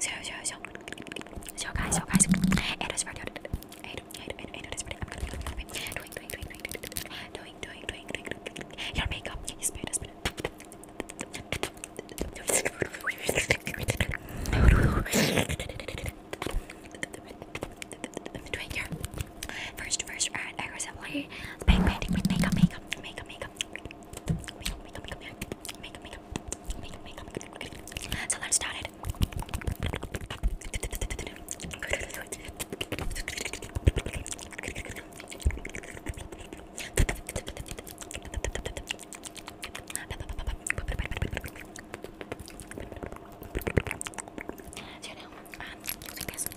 zero zero zero zero guys zero guys eight is ready eight eight eight eight is ready I'm gonna be doing doing doing doing doing doing doing doing doing doing your makeup is better is first first and aggressively painting with makeup makeup makeup makeup so let's start it. I guess, it's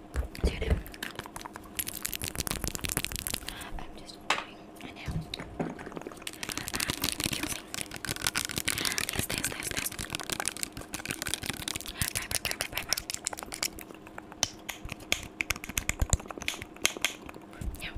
I'm just doing I'm using this, this, this, this primer, primer, primer. Yeah.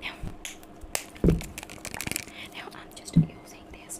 Now, now I'm just using this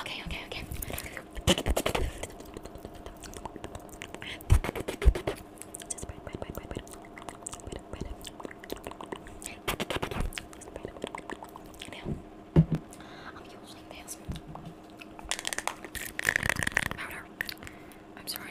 Okay, okay, okay. Now, I'm using this powder. I'm sorry.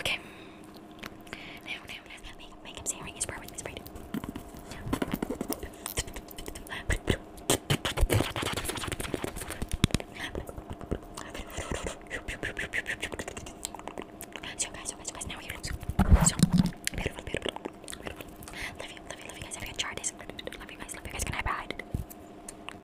Okay. Now, now, now, makeup serum is perfectly sprayed. So guys, so guys, so guys, now you look so beautiful, beautiful, beautiful. Love you, love you, love you guys. Have you guys tried this? Love you guys, love you guys. Can I buy it?